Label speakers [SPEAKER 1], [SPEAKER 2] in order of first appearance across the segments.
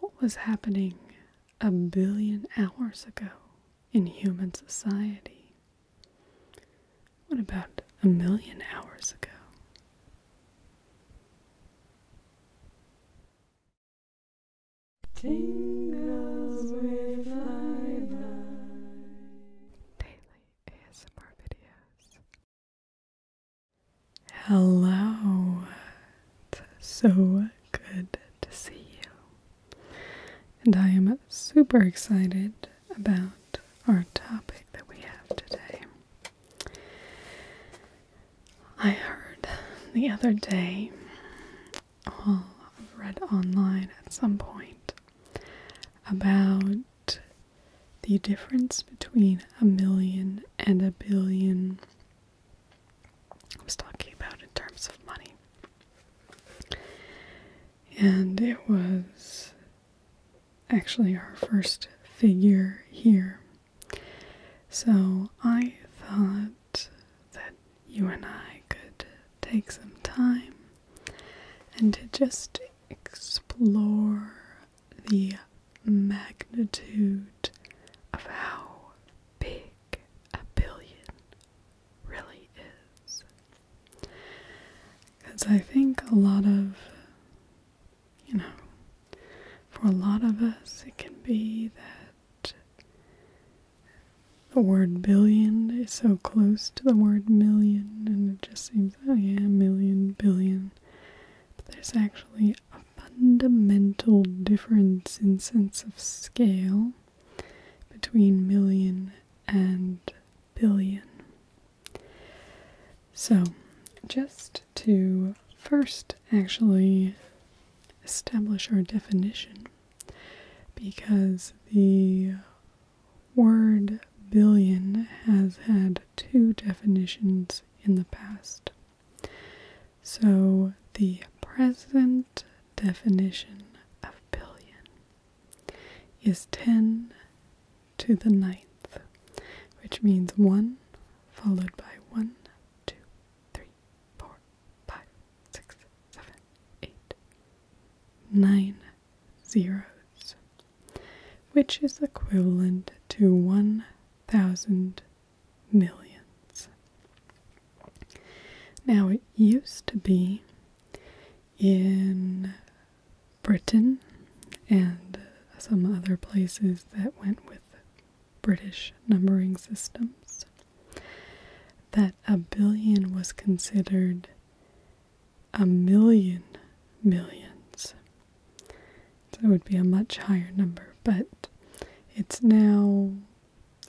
[SPEAKER 1] What was happening a billion hours ago in human society? What about a million hours ago? Hello, it's so good to see you. And I am super excited about our topic that we have today. I heard the other day, well, read online at some point, about the difference between a million and a billion I was talking about in terms of money. And it was actually our first figure here. So I thought that you and I could take some time and to just explore the magnitude of how big a billion really is. Because I think a lot of, you know, for a lot of us, it can be that the word billion is so close to the word million, and it just seems, oh yeah, million, billion. But there's actually a fundamental difference in sense of scale between million and billion. So, just to first actually establish our definition, because the word billion has had two definitions in the past. So, the present definition of billion is 10 to the ninth, which means 1 followed by 1, 2, 3, 4, 5, 6, 7, 8, 9 zeros, which is equivalent to 1,000 millions. Now, it used to be in Britain and some other places that went with British numbering systems that a billion was considered a million millions it would be a much higher number, but it's now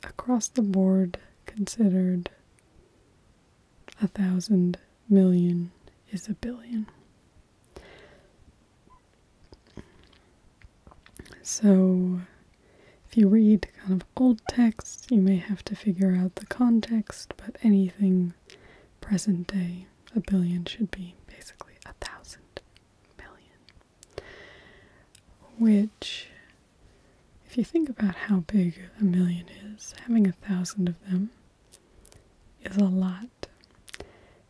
[SPEAKER 1] across the board considered a thousand million is a billion. So, if you read kind of old texts, you may have to figure out the context, but anything present day, a billion should be basically a thousand million. Which, if you think about how big a million is, having a thousand of them is a lot.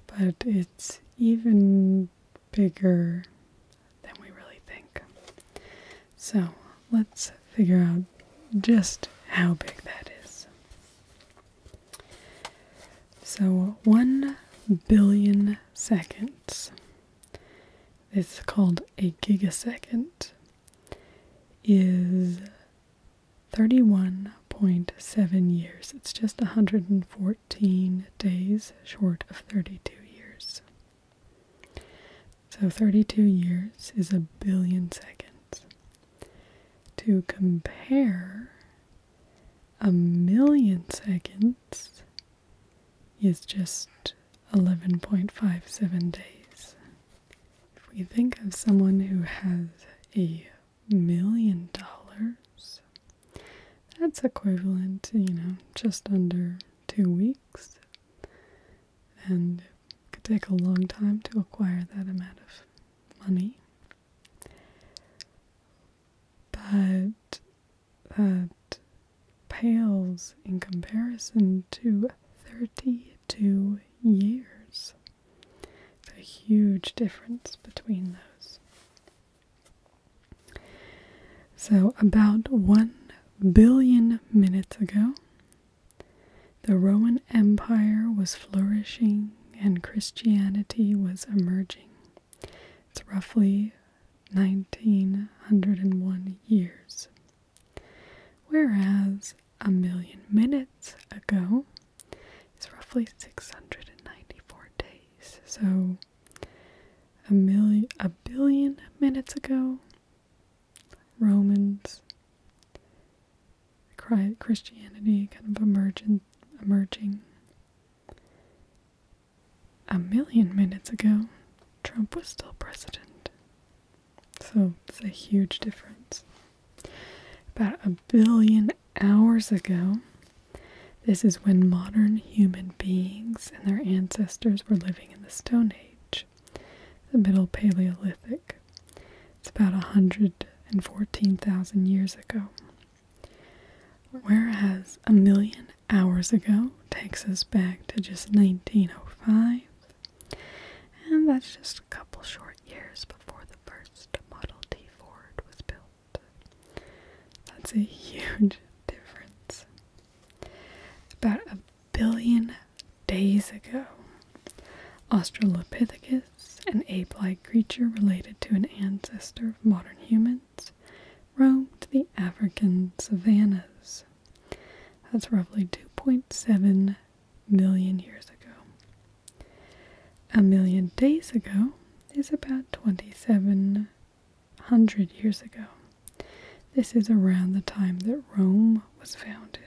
[SPEAKER 1] But it's even bigger than we really think. So let's figure out just how big that is. So, one billion seconds, It's called a gigasecond, is 31.7 years. It's just 114 days short of 32 years. So 32 years is a billion seconds. To compare a million seconds is just 11.57 days. If we think of someone who has a million dollars, that's equivalent you know, just under two weeks. And it could take a long time to acquire that amount of money. But that pales in comparison to 32 years. a huge difference between those. So, about 1 billion minutes ago, the Roman Empire was flourishing and Christianity was emerging. It's roughly 1901 years. Whereas a million minutes ago is roughly 694 days. So a million a billion minutes ago Romans Christianity kind of emergent emerging a million minutes ago, Trump was still president. So it's a huge difference. About a billion hours ago, this is when modern human beings and their ancestors were living in the Stone Age, the Middle Paleolithic. It's about 114,000 years ago. Whereas a million hours ago takes us back to just 1905, and that's just a couple short years before the first Model T Ford was built. That's a huge difference. About a billion days ago, Australopithecus, an ape like creature related to an ancestor of modern humans, roamed the African savannas. That's roughly 2.7 million years ago. A million days ago is about 2,700 years ago. This is around the time that Rome was founded.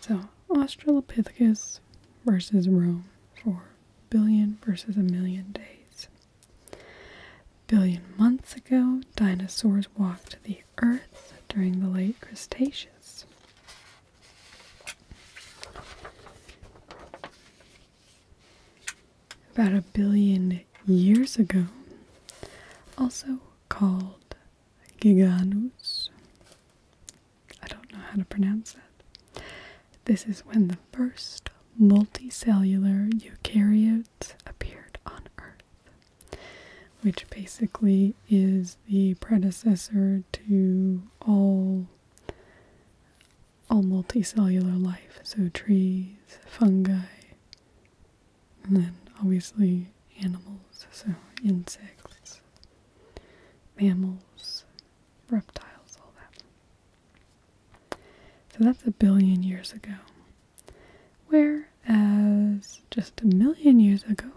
[SPEAKER 1] So, Australopithecus versus Rome for billion versus a million days. Billion months ago, dinosaurs walked the earth during the late Cretaceous. About a billion years ago, also called Giganus. I don't know how to pronounce that. This is when the first multicellular eukaryotes appeared on Earth, which basically is the predecessor to all all multicellular life, so trees, fungi, and then obviously animals, so insects, mammals, reptiles, all that. So that's a billion years ago. Whereas just a million years ago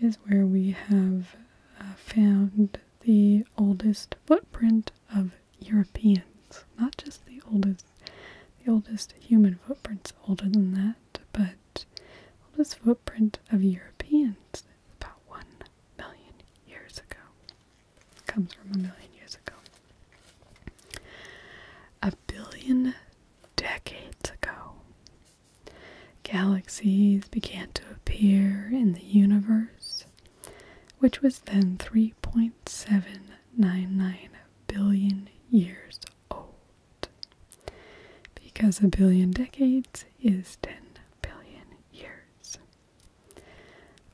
[SPEAKER 1] is where we have uh, found the oldest footprint of Europeans. Not just the oldest, the oldest human footprints older than that, but oldest footprint of Europeans about one million years ago comes from a million years ago. A billion decades ago, galaxies began to appear in the universe, which was then 3.799 billion years old. Because a billion decades is 10 billion years.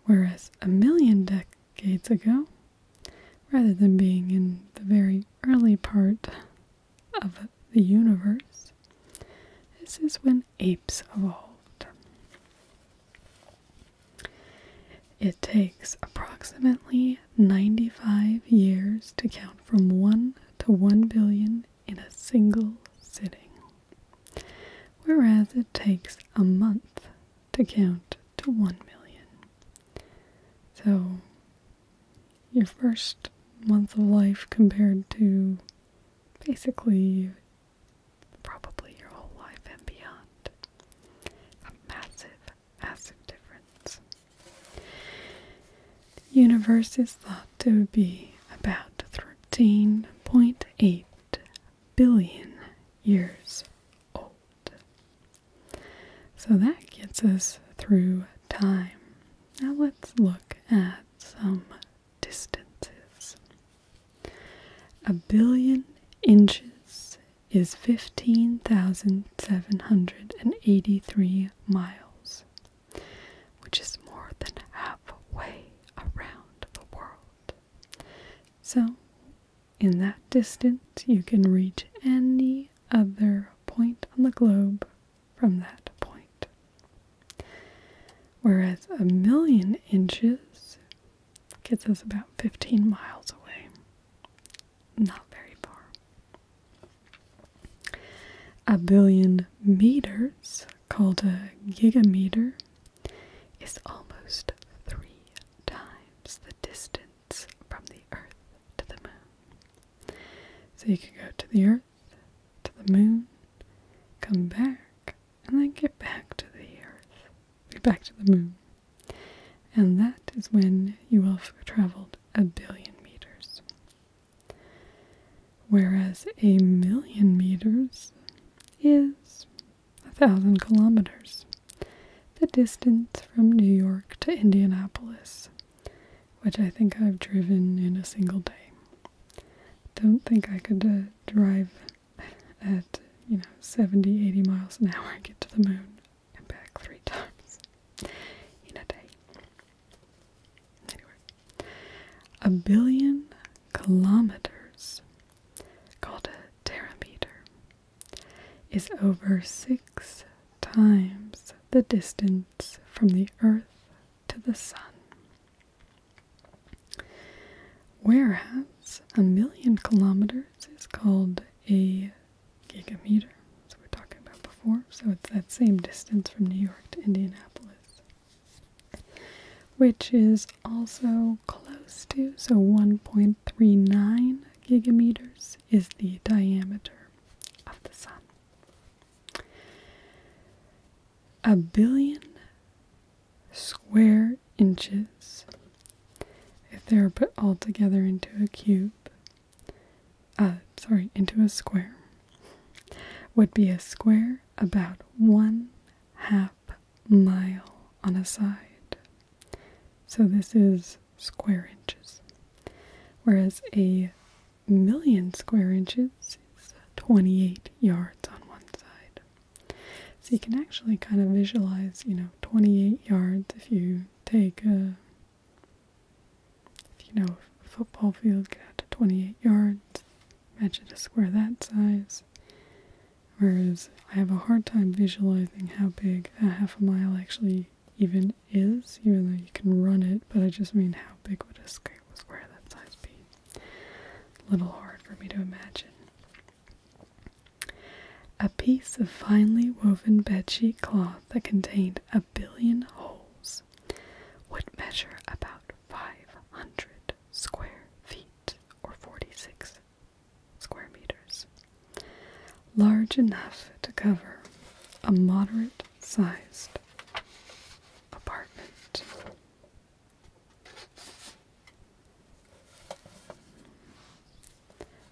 [SPEAKER 1] Whereas a million decades ago, rather than being in the very early part of the universe, this is when apes evolved. It takes approximately 95 years to count from 1 to 1 billion in a single sitting whereas it takes a month to count to 1 million. So, your first month of life compared to basically probably your whole life and beyond. A massive, massive difference. The universe is thought to be about 13.8 billion years old. So that gets us through time. Now let's look at some distances. A billion inches is 15,783 miles, which is more than halfway around the world. So, in that distance, you can reach any other point on the globe from that point. Whereas a million inches gets us about 15 miles away. Not very far. A billion meters called a gigameter is almost three times the distance from the Earth to the moon. So you could go to the Earth, to the moon, come back, and then get back to the Earth, back to the moon. And that is when you have traveled a billion meters. Whereas a million meters is a thousand kilometers, the distance from New York to Indianapolis, which I think I've driven in a single day. Don't think I could uh, drive at you know 70 80 miles an hour and get to the moon and back three times in a day. Anyway, a billion kilometers called a terameter, is over six times the distance from the Earth to the Sun. Whereas a million kilometers is called a gigameter, as we were talking about before, so it's that same distance from New York to Indianapolis which is also close to, so 1.39 gigameters is the diameter of the Sun. A billion square inches, if they were put all together into a cube, uh, sorry, into a square, would be a square about one half mile on a side. So this is square inches. Whereas a million square inches is 28 yards on one side. So you can actually kind of visualize, you know, 28 yards if you take a, you know, football field, get out to 28 yards, imagine a square that size, Whereas I have a hard time visualizing how big a half a mile actually even is, even though you can run it, but I just mean how big would a square that size be? A little hard for me to imagine. A piece of finely woven bed sheet cloth that contained a billion holes would measure about 500 square feet or 46 square meters, large enough to cover a moderate sized apartment.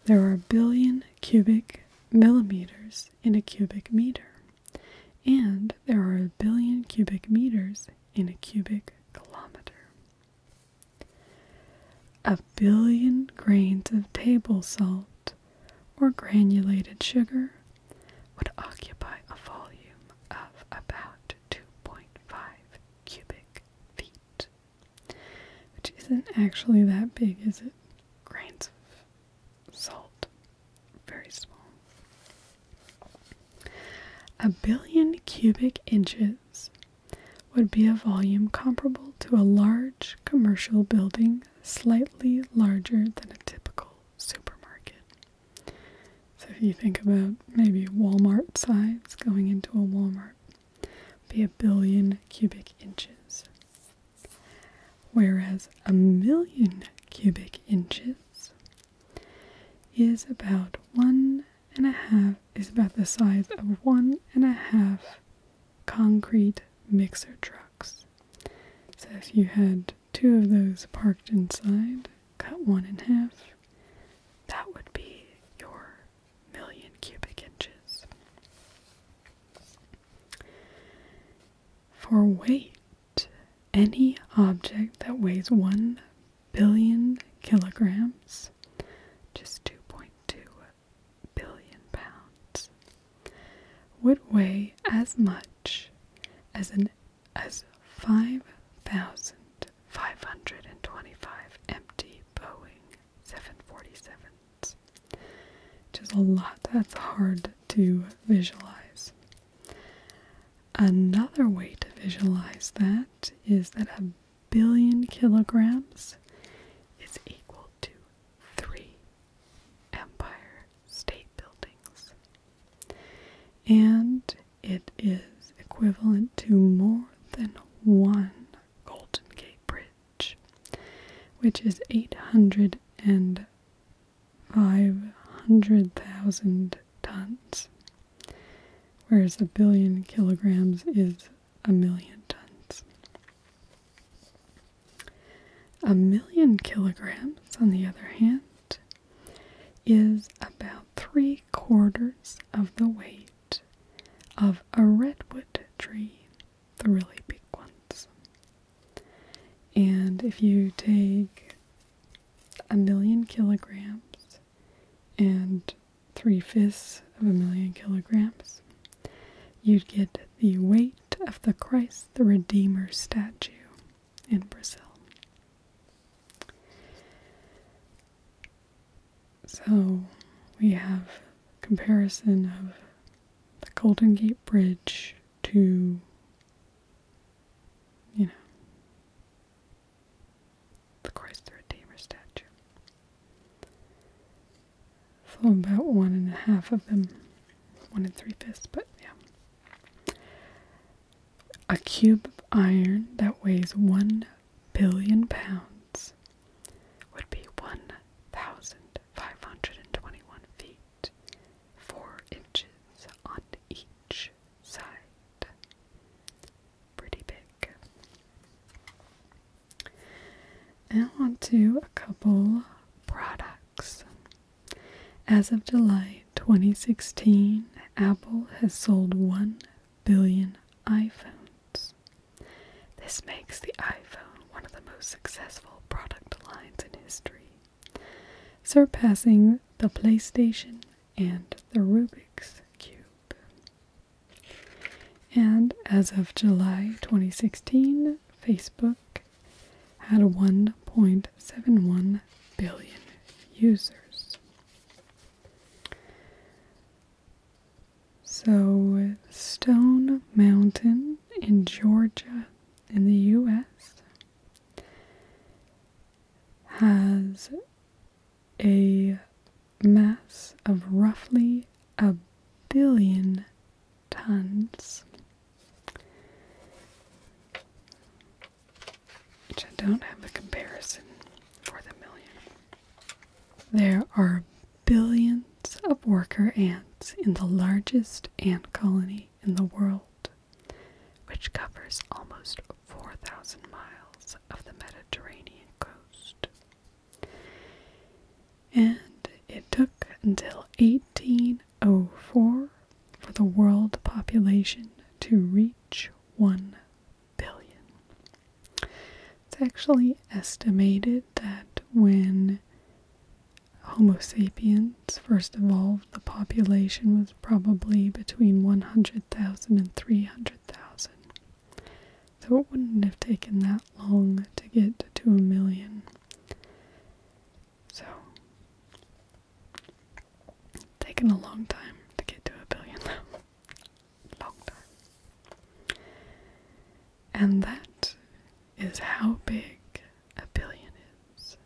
[SPEAKER 1] There are a billion cubic millimeters in a cubic meter, and there are a billion cubic meters in a cubic kilometer. A billion grains of table salt or granulated sugar would occupy a volume of about 2.5 cubic feet, which isn't actually that big, is it? Grains of salt, very small. A billion cubic inches would be a volume comparable to a large commercial building, slightly larger than a typical supermarket. So, if you think about maybe Walmart size going into a Walmart, be a billion cubic inches. Whereas a million cubic inches is about one and a half is about the size of one and a half concrete mixer trucks. So if you had two of those parked inside, cut one in half, that would be your million cubic inches. For weight, any object that weighs one billion kilograms, just 2.2 billion pounds, would weigh as much as an as 5,525 empty Boeing 747s. Which is a lot that's hard to visualize. Another way to visualize that is that a billion kilograms is equal to three Empire State Buildings. And it is equivalent to more than one Golden Gate Bridge, which is 800 tons whereas a billion kilograms is a million tons. A million kilograms, on the other hand, is about three quarters of the weight of a redwood tree, the really big ones. And if you take a million kilograms and three fifths of a million kilograms, you'd get the weight of the Christ the Redeemer statue in Brazil. So we have comparison of the Golden Gate Bridge to you know the Christ the Redeemer statue. So about one and a half of them, one and three fifths, but yeah. A cube of iron that weighs one billion pounds would be 1,521 feet, four inches on each side pretty big. And on to a couple products. As of July 2016, Apple has sold 1 billion iPhones. This makes the iPhone one of the most successful product lines in history, surpassing the PlayStation and the Rubik's Cube. And as of July 2016, Facebook had 1.71 billion users. So, Stone Mountain in Georgia, in the US, has a mass of roughly a billion tons. Which I don't have a comparison for the million. There are billions of worker ants in the largest ant colony in the world which covers almost 4,000 miles of the Mediterranean coast. And it took until 1804 for the world population to reach 1 billion. It's actually estimated that when Homo sapiens first evolved, the population was probably between 100,000 and 300,000. So it wouldn't have taken that long to get to a million. So, taken a long time to get to a billion. long time. And that is how big a billion is.